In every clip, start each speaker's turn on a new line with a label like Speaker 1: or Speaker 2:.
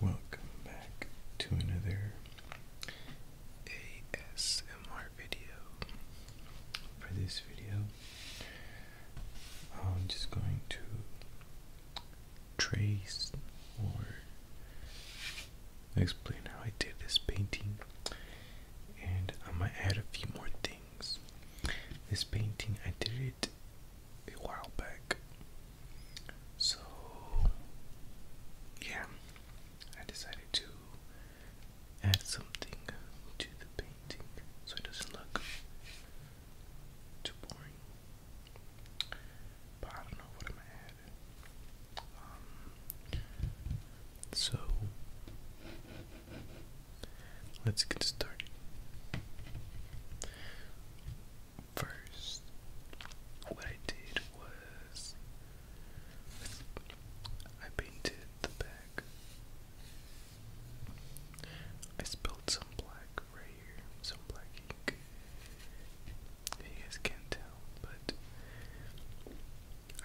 Speaker 1: Welcome back to another ASMR video. For this video, I'm just going to trace or explain how I did this painting, and I might add a few more things this painting I did it a while back. So yeah, I decided to add something to the painting so it doesn't look too boring. But I don't know what I'm gonna add. Um, so Let's get started. First, what I did was I painted the back. I spilled some black right here, some black ink. You guys can tell, but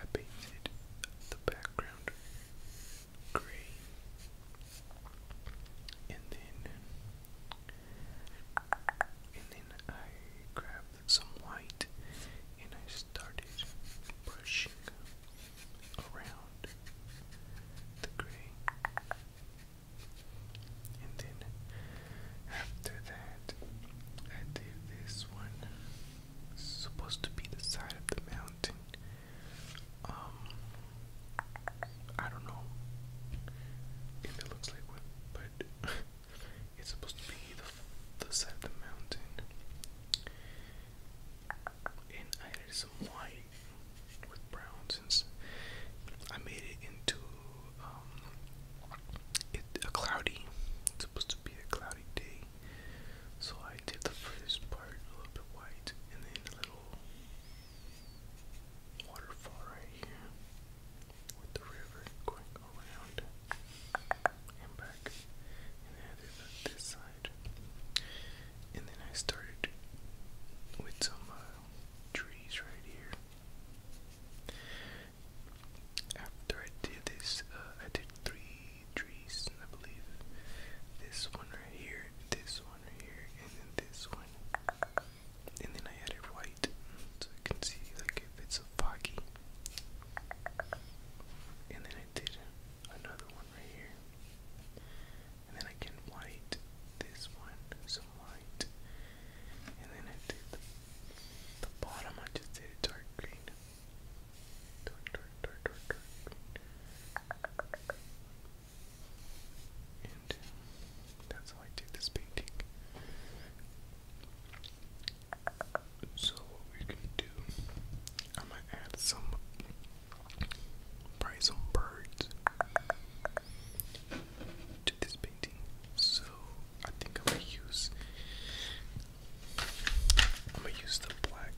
Speaker 1: I painted the background gray, and then and then I grabbed some white and I started brushing around the gray, and then after that I did this one. It's supposed to be the side of the mountain. Um, I don't know it looks like one, but it's supposed to be the, side of the mountain. And I added some white with brown since I made it into um, a cloudy. It's supposed to be a cloudy day. So I did the first part a little bit white and then a little waterfall right here with the river going around and back. And then I did this side. And then I started with some uh, trees right here. After I did this, uh, I did three trees, I believe. This one right here, this one right here, and then this one. And then I added white, so I can see like if it's a foggy. And then I did another one right here. And then I can white this one, some white. And then I did the bottom, I just did dark green. And that's how I did this painting. So what we can do, I'm gonna add some price on birds to this painting. So I think I'm use I'm gonna use the black,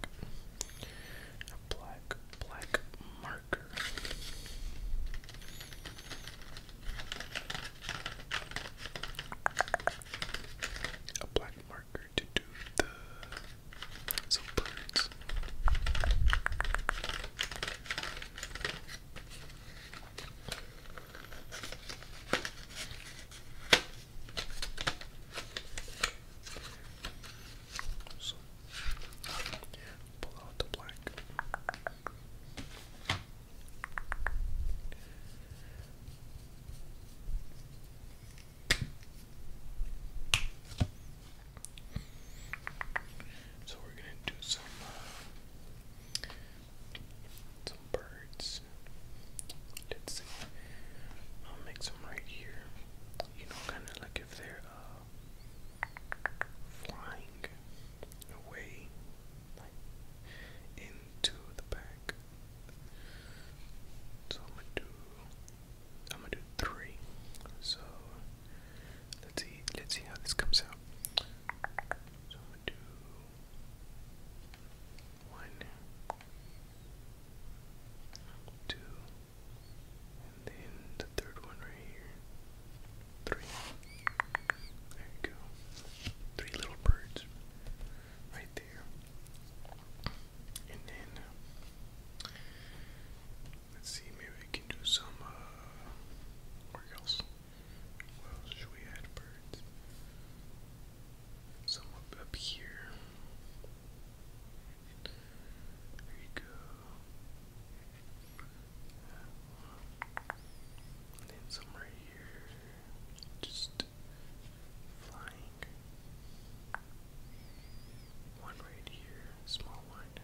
Speaker 1: a black, black marker. A black marker to do the so so, pull out the black. So we're gonna do some uh, some birds. Let's see. I'll make some right here. You know, kind of like if they're uh, flying away like, into the back. So I'm gonna do. I'm gonna do three. So let's see. Let's see how this comes out. So i do one, two, and then the third one right here. Three. There you go. Three little birds right there. And then uh, let's see, maybe we can do some uh, where else should we add birds? some up, up here. There you go. then some here. Just flying. One right here, small one.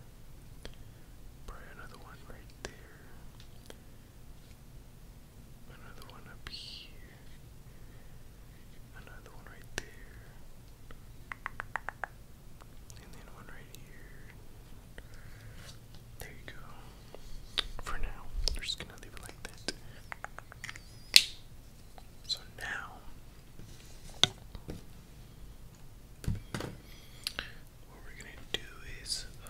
Speaker 1: Probably another one right there another one up here, another one right there, and then one right here. There you go. For now, we're just gonna leave it like that. So now what we're gonna do is uh,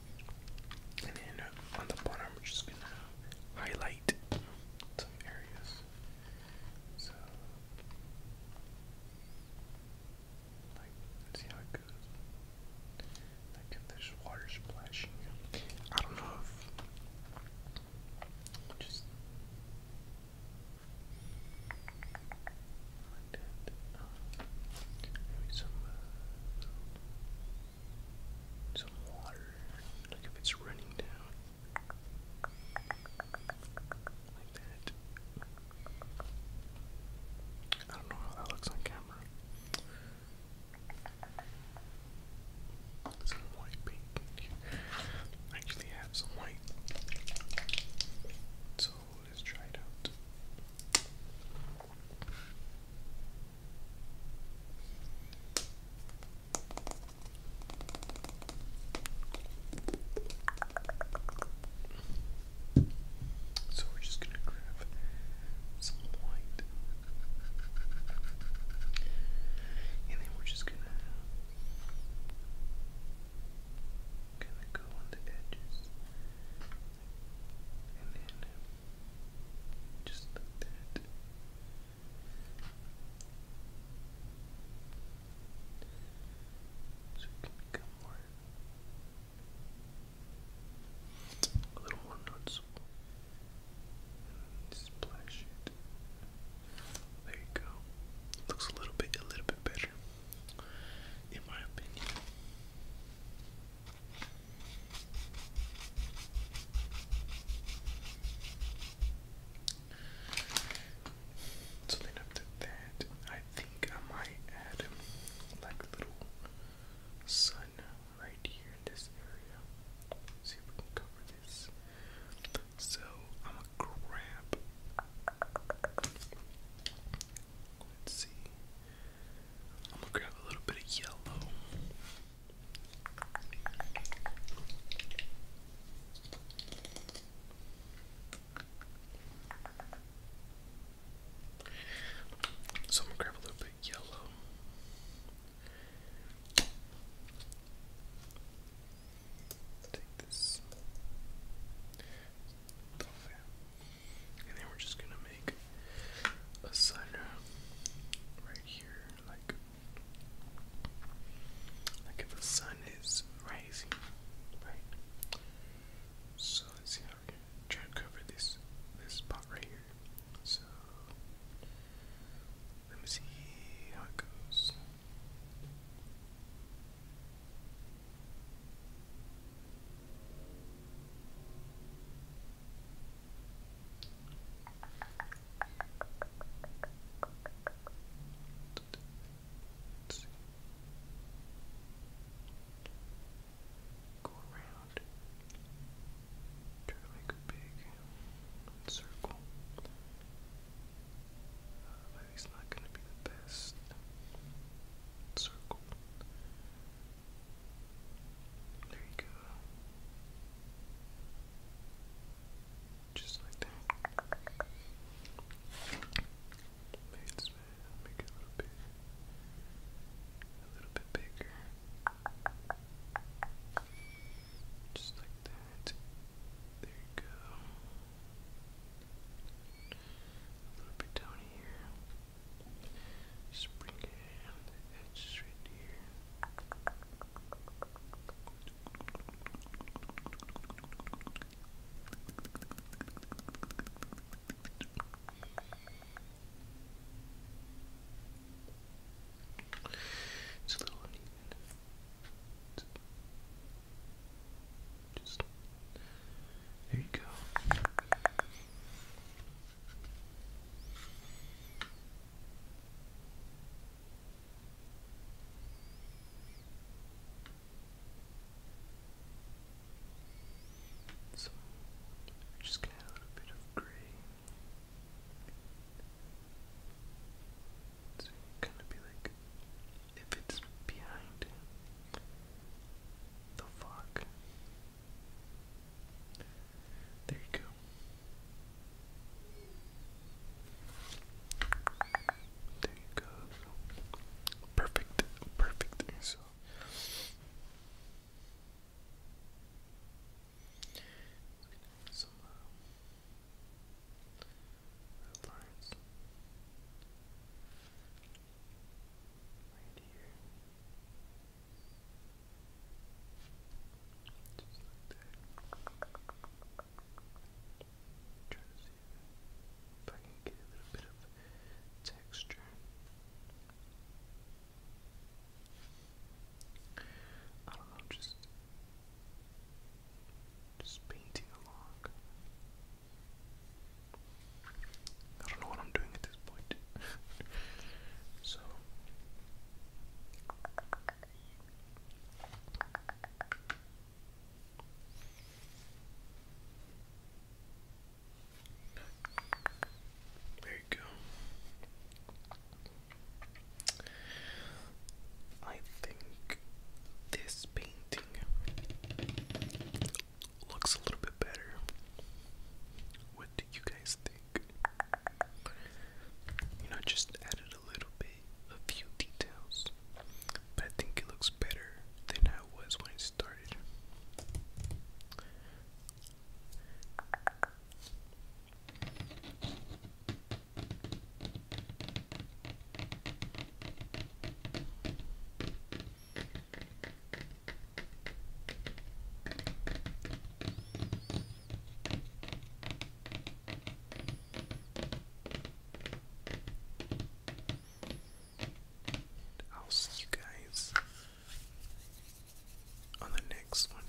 Speaker 1: And then on the bottom, we're just gonna highlight some areas. So, like, let's see how it goes. Like, if there's water splashing, I don't know just maybe some some water, like if it's running down, like that. I don't know how that looks on camera. Some white paint. actually have some white, so let's try it out. So we're just gonna grab some white, and then we're just gonna kind of go on the edges and then just like that. So it can become more a little more noticeable. splash it. There you go. Looks a little bit a little bit better in my opinion. So then after that, I think I might add um, like a little sun right here in this area. See if we can cover this. So Let's see. I'm gonna grab a little bit of yellow. So I'm gonna grab a little bit yellow. And then we're just gonna make a center right here, like like if the sun is rising, right? So let's see how we're try to cover this this spot right here. So let me see how it goes. Let's see. Go around. Try to make a big circle. Uh, he's not going to be the best circle. There you go. Just like that. make it a little bit, a little bit bigger. Just like that. There you go. A little bit down here. Just it on here. It's a little uneven just there you go. So just add a little bit of gray. It's gonna be like if it's behind the fog. There you go. There you go. Perfect. Perfect. So uh, Headlines. Right Just like that. i if I can get a little bit of texture. I don't know, just just painting along. I don't know what I'm doing at this point. so there you go. I think this painting looks a little bit better. What do you guys think? You know, just added a little bit, a few details, but I think it looks better than how was when I started. I'll see you guys on the next one.